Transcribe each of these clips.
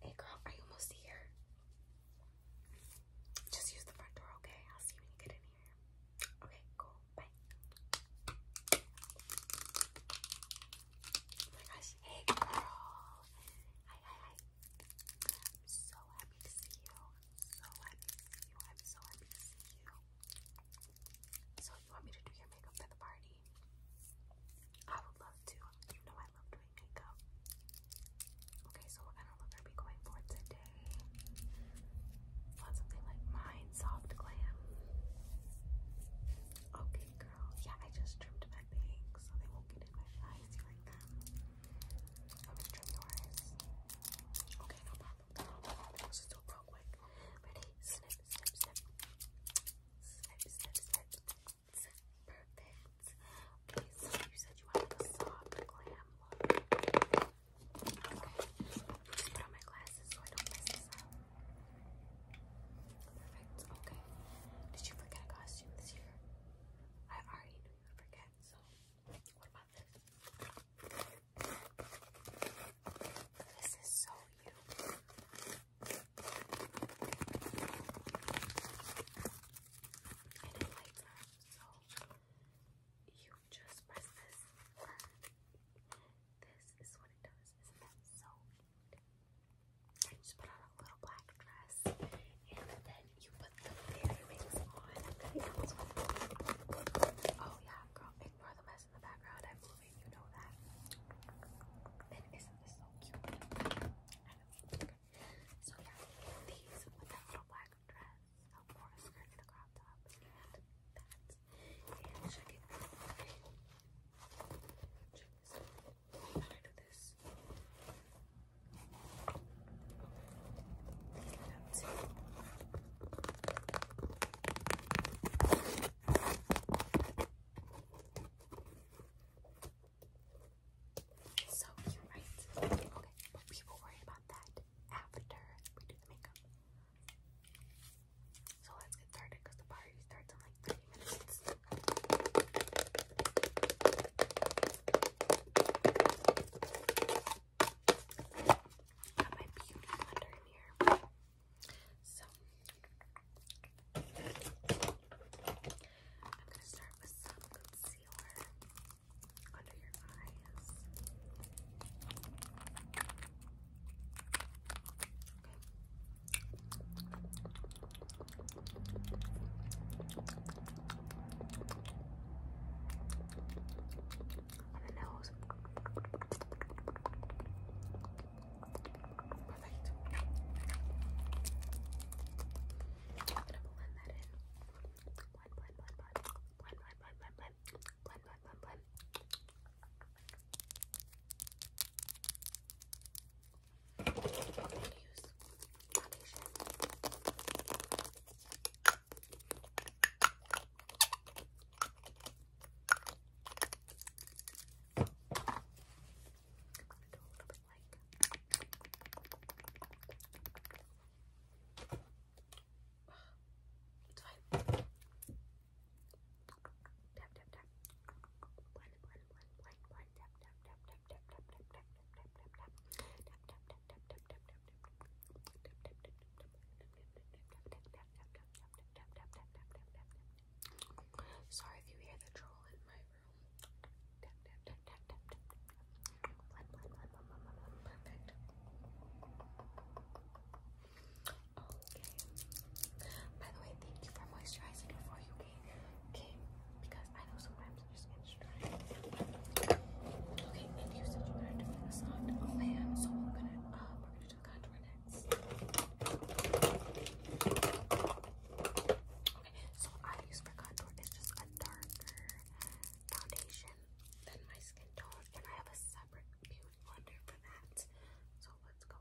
Hey girl, are you almost here? Just use the front door, okay? I'll see when you get in here. Okay, cool. Bye. Oh my gosh. Hey girl. Hi, hi, hi. I'm so happy to see you so happy to see you. I'm so happy to see you. So you want me to do your makeup at the party? I would love to. You know I love doing makeup. Okay, so what kind of look are we going for today? Want something like mine, soft glam? Okay, girl. Yeah, I just trimmed my bangs so they won't get in my eyes during them. I'm gonna trim Okay, no problem. No problem. Let's do it real quick. Ready? Snip, snip, snip. Perfect. Okay, you said you wanted a soft glam look. Okay. put on my glasses so I don't mess this up. Perfect. Okay. Did you forget a costume this year? I already I forget. So, what about this? This is so you. I didn't so you just press this. This is what it does. Isn't that so I just put on a black dress, and then you put the fairy rings on. Oh yeah, girl, ignore the mess in the background. I'm moving, you know that. not this so cute? So yeah, these with that little black dress, or a skirt a crop top, and that. it out. I do this? So cute, right? Okay, but people worry about that after we do the makeup. So let's get started because the party starts in like 30 minutes. Got my I'm gonna start with some concealer under your eyes. And the nose. Perfect. I'm gonna blend that in. Blend, blend, blend, blend. Blend, blend, blend, blend, blend. Blend, blend, blend, blend. I'm going to use foundation. It's fine. Tap, tap, tap. Blend, blend, blend, blend, tap, tap, tap. Sorry if you hear the troll in my room. Perfect. Okay. By the way, thank you for moisturizing before you came, came because I know sometimes I just uh, Okay, so I use for contour is just a darker foundation than my skin tone, and I have a separate beauty blender for that. So let's go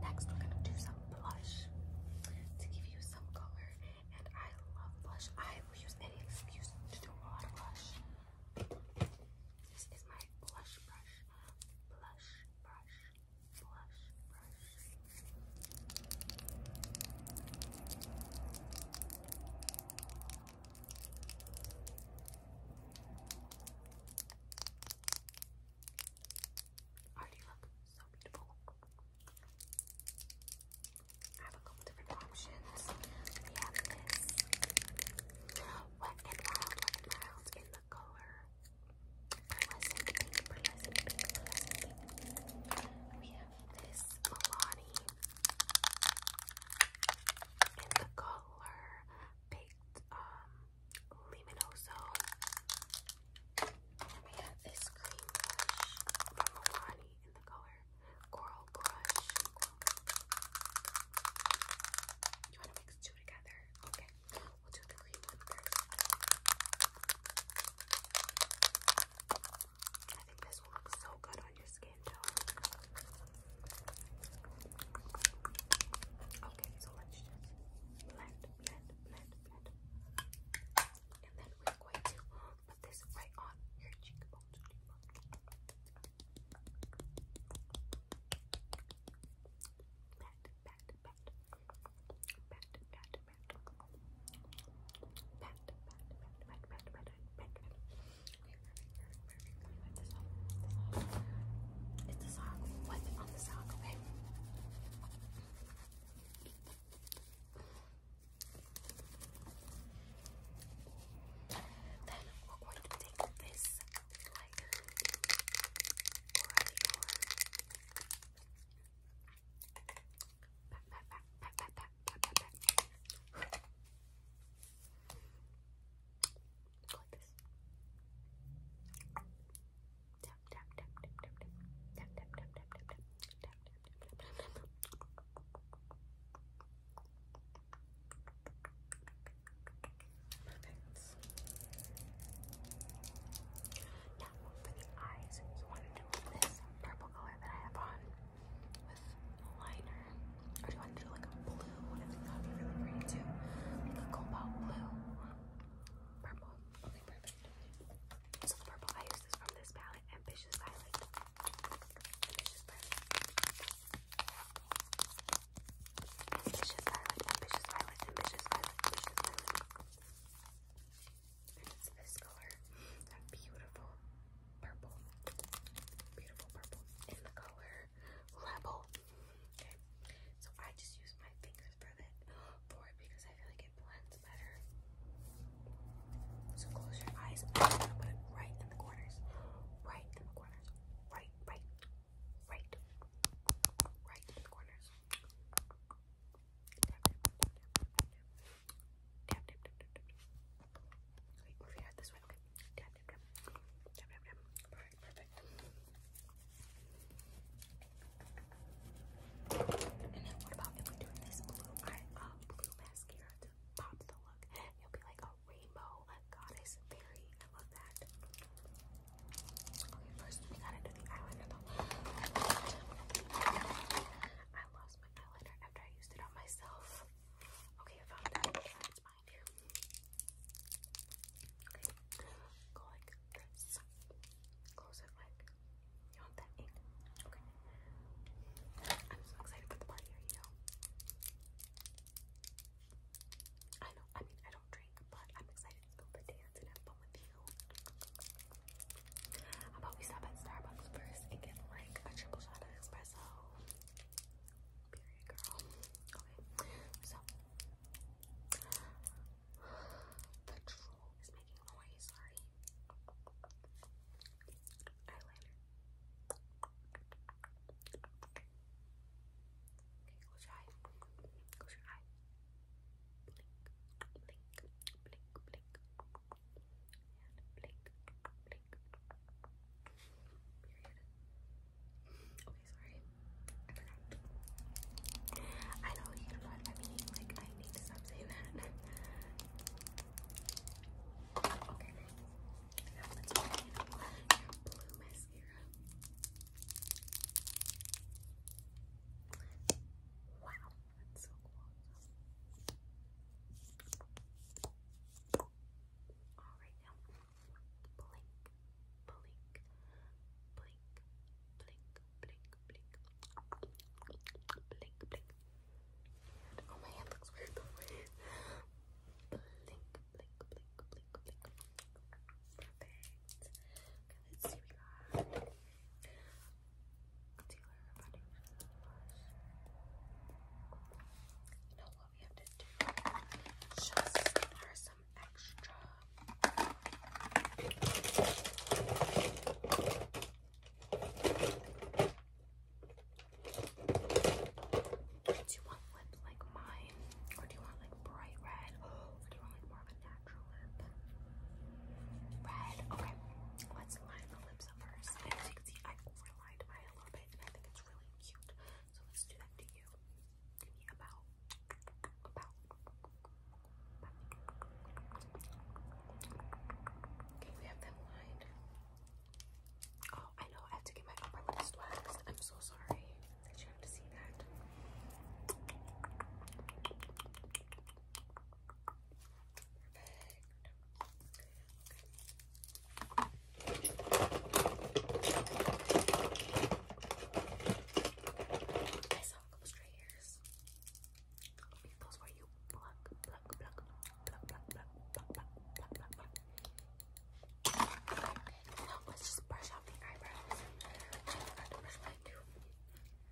Next, we're gonna do some blush to give you some color. And I love blush. I will use any excuse to do a lot of blush. This is my blush brush. Blush brush. Blush brush. Already look so beautiful. I have a couple different options. We have this wet and wild, wet wild in the color We have this Milani in the color um, Luminoso. we have this cream blush from Milani in the color Coral Crush. You want to mix two together? Okay, we'll do the cream one first. I think this will look so good on your skin though. Okay, so let's blend, blend, blend, blend. And then we're going to put this right on your cheekbones. Pat, pat, pat. Pat, pat, pat. Pat, pat, pat, pat, pat, pat, pat, pat perfect, perfect, perfect. It's a on the sock, okay? Then we're going to take this like like this. Tap tap tap tap tap tap tap tap tap tap tap tap tap tap tap Now for the eyes, you want to do this purple color that I have on with liner. Or do you want to do like a blue? I think that would be really pretty too. Like a cobalt blue. Purple. Okay, perfect. So the purple, I use this from this palette, Ambitious Violet. Ambitious Violet. Ambitious Violet, Ambitious Violet, Ambitious Violet, Ambitious Violet. And it's this color. That beautiful purple, beautiful purple in the color Rebel. Okay, so I just use my fingers for that for it because I feel like it blends better. So close your eyes. i put it right in the corners, right in the corners, right, right, right, right in the corners. Tap, tap, tap, tap, tap, tap, tap, tap, tap, this way okay. Tap, And then what about if we do this blue eye, blue mascara to pop the look? It'll be like a rainbow goddess fairy. I love that. Okay, first we gotta do the eyeliner I lost my eyeliner after I used it on myself. Okay, I found that. Uh, it's behind here. Okay, go like this. Close it like. You want that ink? Okay. I'm so excited for the party, are you? I know, I mean, I don't drink, but I'm excited to go for dance and have fun with you. How about we stop at Starbucks first and get like a triple shot of espresso? Period, girl. Okay, so the troll is making noise. Sorry. Eyeliner. Okay, close your eye. Close your eye. Blink, blink, blink, blink. And Okay, sorry. I know you know I mean. Like, I need to stop that. okay, now let's blue mascara. That's so Alright now. Blink, blink, blink, blink, blink, blink. Blink, blink. And, oh my hand looks weird blink, blink, blink, blink, blink. Perfect. let's see what we got. You know what we have to do? Just her some extra. Do you want lip like mine? Or do you want like bright red? Or do you want like more of a natural lip? Red? Okay. Let's line the lips up first can see I mine a little bit and I think it's really cute. So let's do that to you. Give me about, about, Okay, we have them lined. Oh, I know, I have to get my upper lips waxed. I'm so sorry that you have to see that. Okay. I saw a couple stray hairs. Those where you pluck, pluck, pluck, pluck, pluck, pluck, pluck, pluck, pluck, let's just brush out the eyebrows. brush mine too.